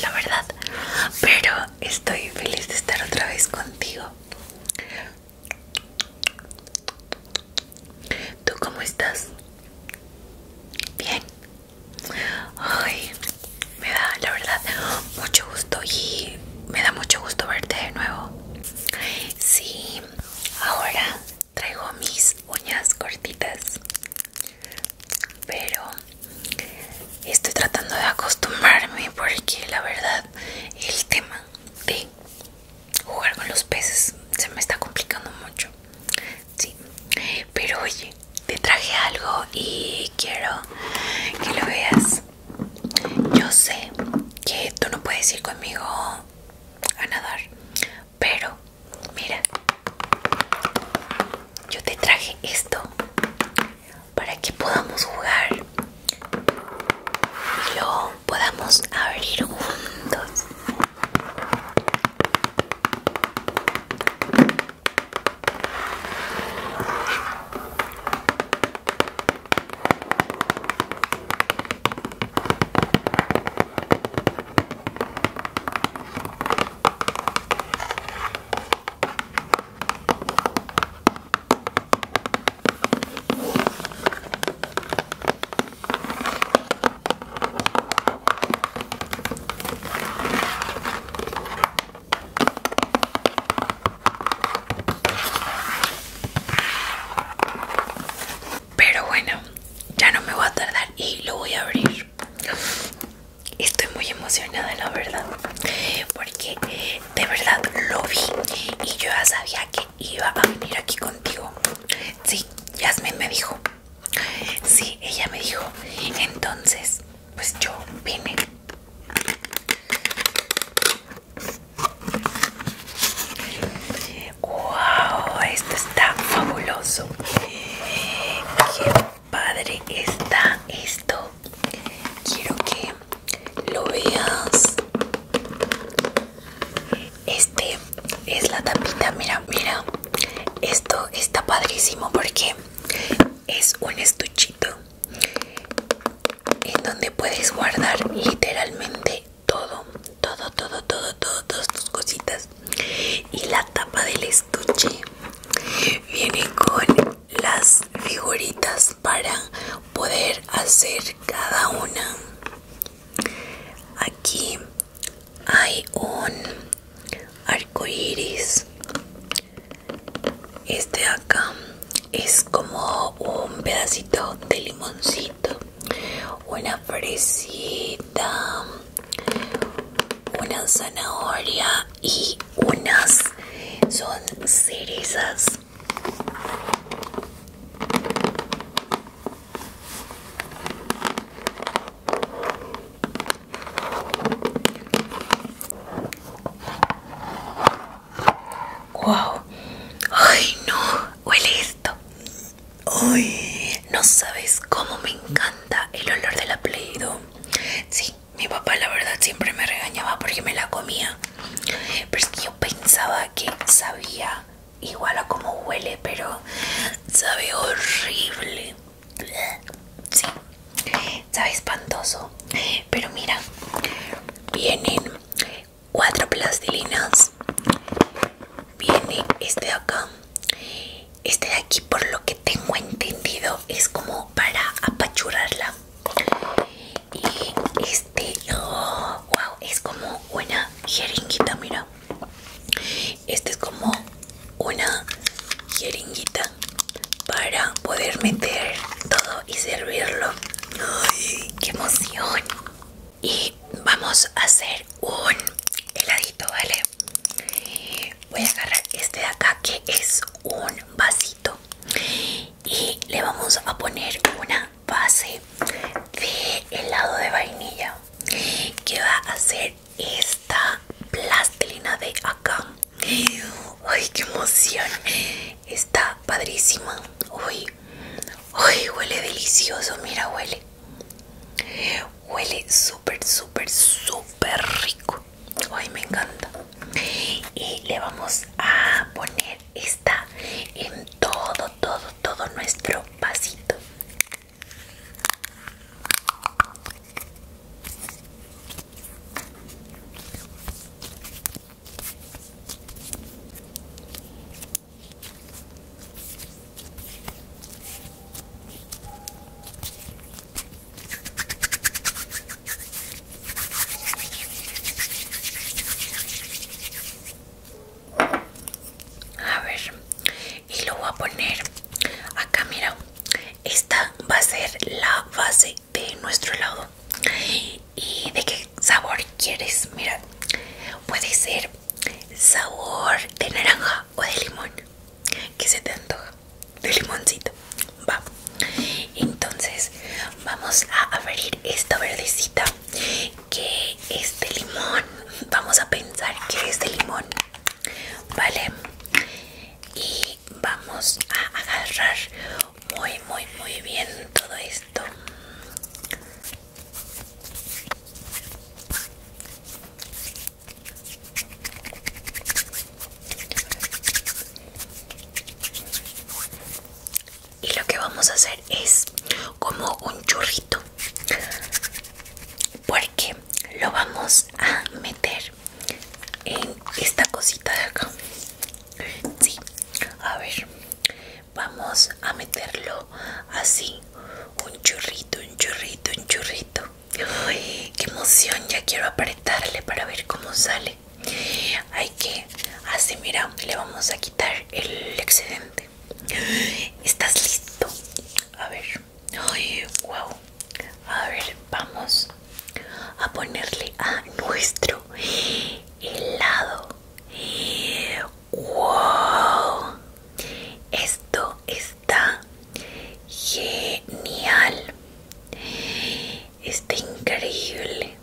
la verdad. Pero estoy feliz de estar otra vez contigo. ¿Tú cómo estás? Bien. Ay, me da, la verdad, mucho gusto y me da mucho gusto verte de nuevo. Sí, ahora traigo mis uñas cortitas pero estoy tratando de acostumbrarme porque la verdad el tema de jugar con los peces se me está complicando mucho sí pero oye te traje algo y quiero que lo veas yo sé que tú no puedes ir conmigo a nadar pero Mira, yo te traje esto para que podamos jugar y lo podamos abrir juntos. Pero bueno, ya no me voy a tardar y lo voy a abrir. Estoy muy emocionada, la verdad, porque de verdad lo vi y yo ya sabía que iba a venir aquí contigo. Sí, Yasmin me dijo. Sí, ella me dijo. Entonces, pues yo vine. ¡Wow! Esto está fabuloso. Qué padre está esto. Quiero que lo veas. Este es la tapita, mira, mira. Esto está padrísimo porque es un estuchito en donde puedes guardar literalmente todo, todo, todo, todo, todo, todas tus cositas y la tapa del estuche viene con las figuritas para poder hacer cada una aquí hay un arco iris este acá es como un pedacito de limoncito una fresita una zanahoria y unas son cerezas wow ay no huele esto Uy, no sabes cómo me encanta el olor de la play Sí, mi papá la verdad siempre me regañaba porque me la comía. Pero es que yo pensaba que sabía igual a como huele, pero sabe horrible. Sí, sabe espantoso. Pero mira, vienen cuatro plastilinas viene este de acá este de aquí por lo que tengo entendido es como para apachurarla y este wow oh, es como una jeringuita mira este es como una jeringuita para poder meter todo y servirlo. qué emoción! y vamos a hacer un heladito, ¿vale? Voy a agarrar este de acá que es un vasito y le vamos a poner una base de helado de vainilla que va a ser esta plastilina de acá. ¡Ay, qué emoción! Está padrísima. ¡Uy! ¡Uy! Huele delicioso, mira, huele. Huele súper, súper, súper rico. Ay, me encanta. Y le vamos a poner esta en todo, todo, todo nuestro vasito. A ver, y lo voy a poner acá, mira, esta va a ser la base de nuestro helado. ¿Y de qué sabor quieres? Mira, puede ser sabor de naranja o de limón que se te antoja de limoncito va entonces vamos a abrir esta verdecita que es de limón vamos a pensar que es de limón vale y vamos a agarrar muy muy muy bien todo esto y lo que vamos a hacer es como un churrito, porque lo vamos a meter en esta cosita de acá. Sí, a ver, vamos a meterlo así un chorrito, un chorrito, un chorrito. Uy, qué emoción ya quiero apretarle para ver cómo sale hay que así mira le vamos a quitar el excedente estás listo a ver Ay, wow a ver vamos a ponerle a nuestro helado ¡Wow! Esto está genial. Está increíble.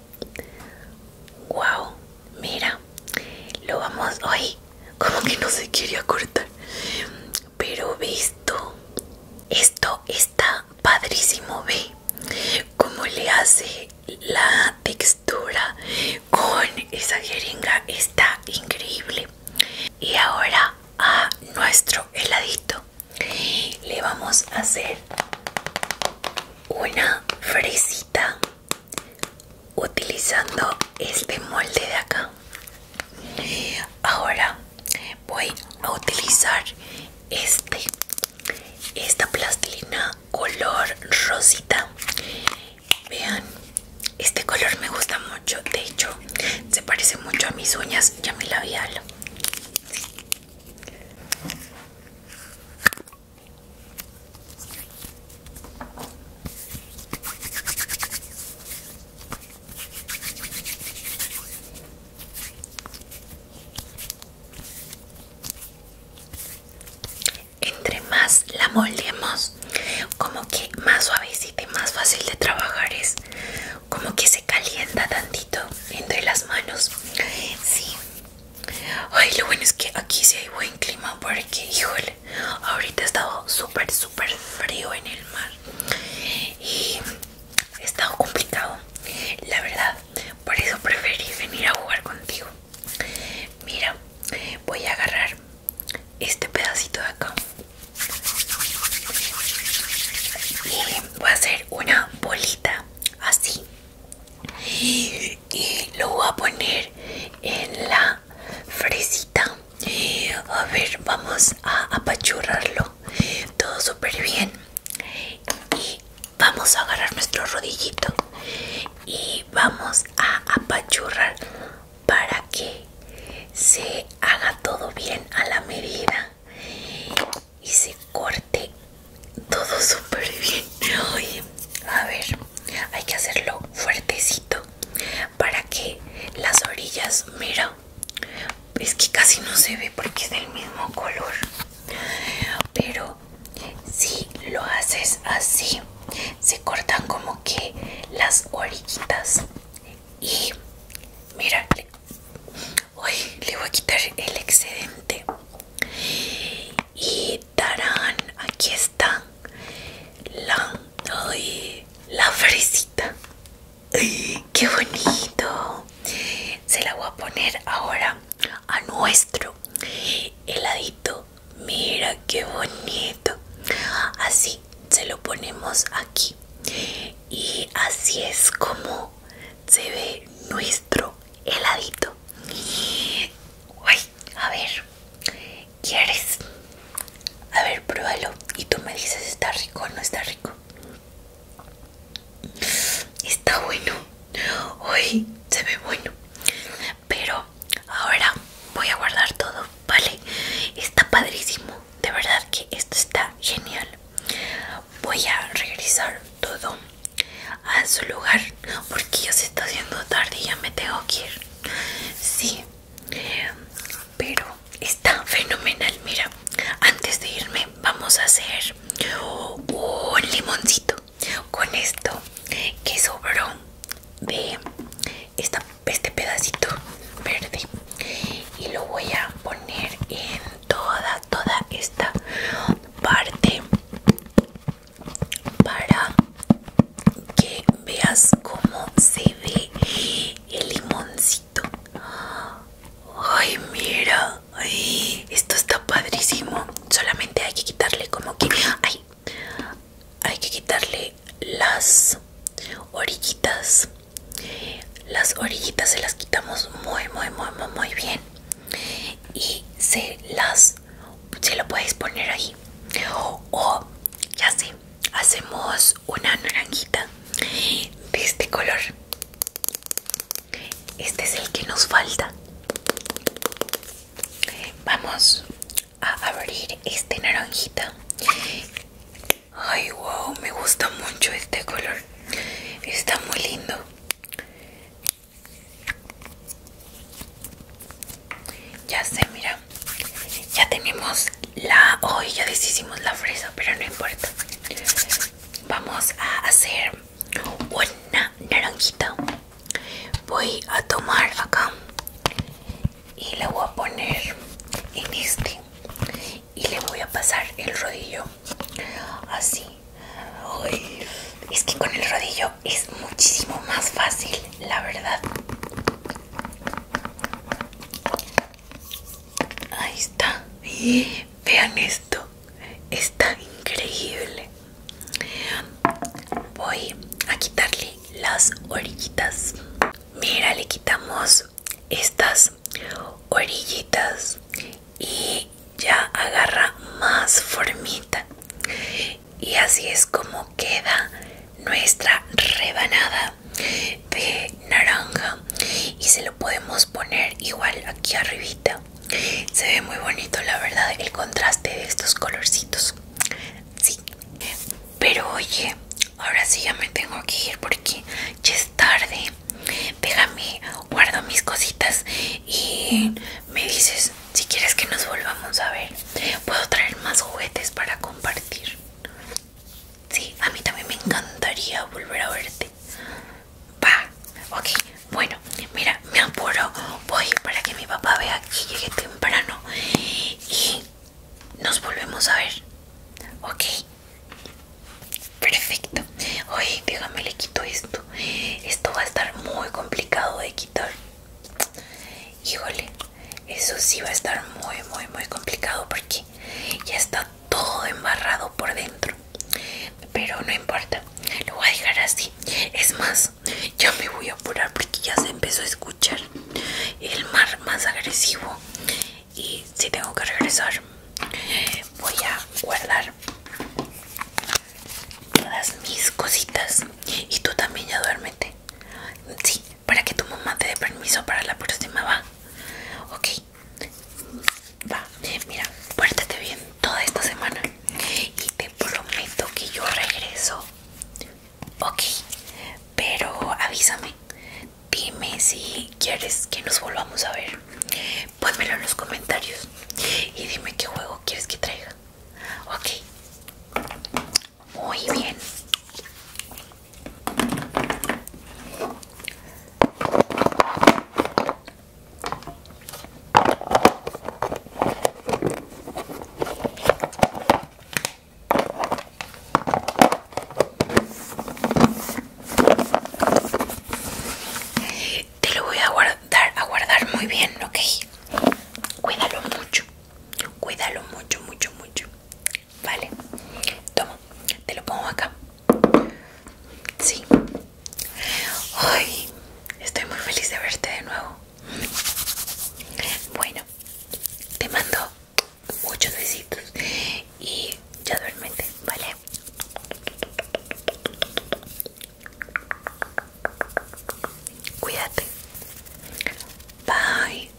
¡Wow! Mira, lo vamos hoy. Como que no se quería cortar. Pero visto, esto está padrísimo, ve. como le hace la textura con esa jeringa está increíble y ahora a nuestro heladito le vamos a hacer una fresita utilizando este molde de acá ahora voy a utilizar este esta plastilina color rosita vean este color me gusta mucho de hecho se parece mucho a mis uñas y a mi labial entre más la moldemos como que más suavecita y más fácil de trabajar es. Como que se calienta tantito entre las manos. Sí. Ay, lo bueno es que aquí sí hay buen clima porque, híjole, ahorita estado súper, súper frío en el mar. Y Ha estado complicado, la verdad. Por eso preferí venir a jugar contigo. Mira, voy a agarrar este pedacito de acá y voy a hacer una bolita así y lo voy a poner en la fresita. A ver, vamos a apachurrarlo todo súper bien y vamos a agarrar nuestro rodillito y vamos a apachurrar para que se haga todo bien a la medida y se corte todo súper bien. Oye, a ver, hay que hacerlo fuertecito para que las orillas, mira, es que casi no se ve porque es del mismo color. Pero si lo haces así se cortan como que las orillitas y mira le, le voy a quitar el excedente y tarán, aquí está la fresita qué bonito se la voy a poner ahora a nuestro heladito. Mira qué bonito. Así se lo ponemos aquí. Y así es como se ve nuestro heladito. a ver, ¿quieres? A ver, pruébalo. Y tú me dices, ¿está rico o no está rico? Está bueno. Hoy se ve bueno. Pero ahora voy a guardar todo, ¿vale? Está padrísimo. De verdad que esto está genial. Voy a regresar todo a su lugar porque ya se está haciendo tarde y ya me tengo que ir. Sí. Pero está fenomenal. Mira, antes de irme vamos a hacer un limoncito con esto que sobró de esta, este pedacito verde y lo voy a poner en toda toda esta parte para que veas cómo se ve el limoncito ay mira esto está padrísimo. Solamente hay que quitarle como que... Ay, hay que quitarle las orillitas. Las orillitas se las quitamos muy, muy, muy, muy, muy bien. Y se las... Se lo puedes poner ahí. O, ya sé, hacemos una naranjita de este color este es el que nos falta. Vamos a abrir este naranjita. Ay, wow, me gusta mucho este color. Está muy lindo. Ya sé, mira. Ya tenemos la... Hoy ya deshicimos la fresa, pero no importa vamos a hacer una naranjita voy a tomar acá y la voy a poner en este y le voy a pasar el rodillo así es que con el rodillo es muchísimo más fácil la verdad Ahí está. Vean esto. Está increíble. Voy a quitarle las orillitas. Mira, le quitamos estas orillitas y ya agarra más formita. Y así es como queda nuestra rebanada de naranja y se lo podemos poner igual aquí arribita se ve muy bonito la verdad el contraste de estos colorcitos sí pero oye ahora sí ya me tengo que ir porque ya es tarde déjame guardo mis cositas y me dices si quieres que nos volvamos a ver puedo traer más juguetes para compartir Sí, a mí también me encantaría volver a verte. Va, ok. Bueno, mira, me apuro. Voy para que mi papá vea que llegué temprano. Y nos volvemos a ver. Ok. Perfecto. Oye, déjame le quito esto. Esto va a estar muy complicado de quitar. Híjole, eso sí va a estar muy, muy, muy complicado porque ya está todo embarrado por dentro pero no importa lo voy a dejar así es más yo me voy a apurar porque ya se empezó a escuchar el mar más agresivo y si tengo que regresar voy a guardar todas mis cositas y tú también ya duérmete sí para que tu mamá te dé permiso para la próxima va ok va, eh, mira, pórtate bien toda esta semana y te prometo que yo regreso. Ok, pero avísame, dime si quieres que nos volvamos a ver. ponmelo en los comentarios y dime qué juego quieres que traiga. Ok, muy bien. Te lo voy a guardar, a guardar muy bien, ok. Cuídalo mucho, cuídalo mucho, mucho, mucho. Vale, toma, te lo pongo acá. Sí. Ay, estoy muy feliz de verte de nuevo. Bueno, te mando muchos besitos y ya duérmete, ¿vale? Cuídate. Bye.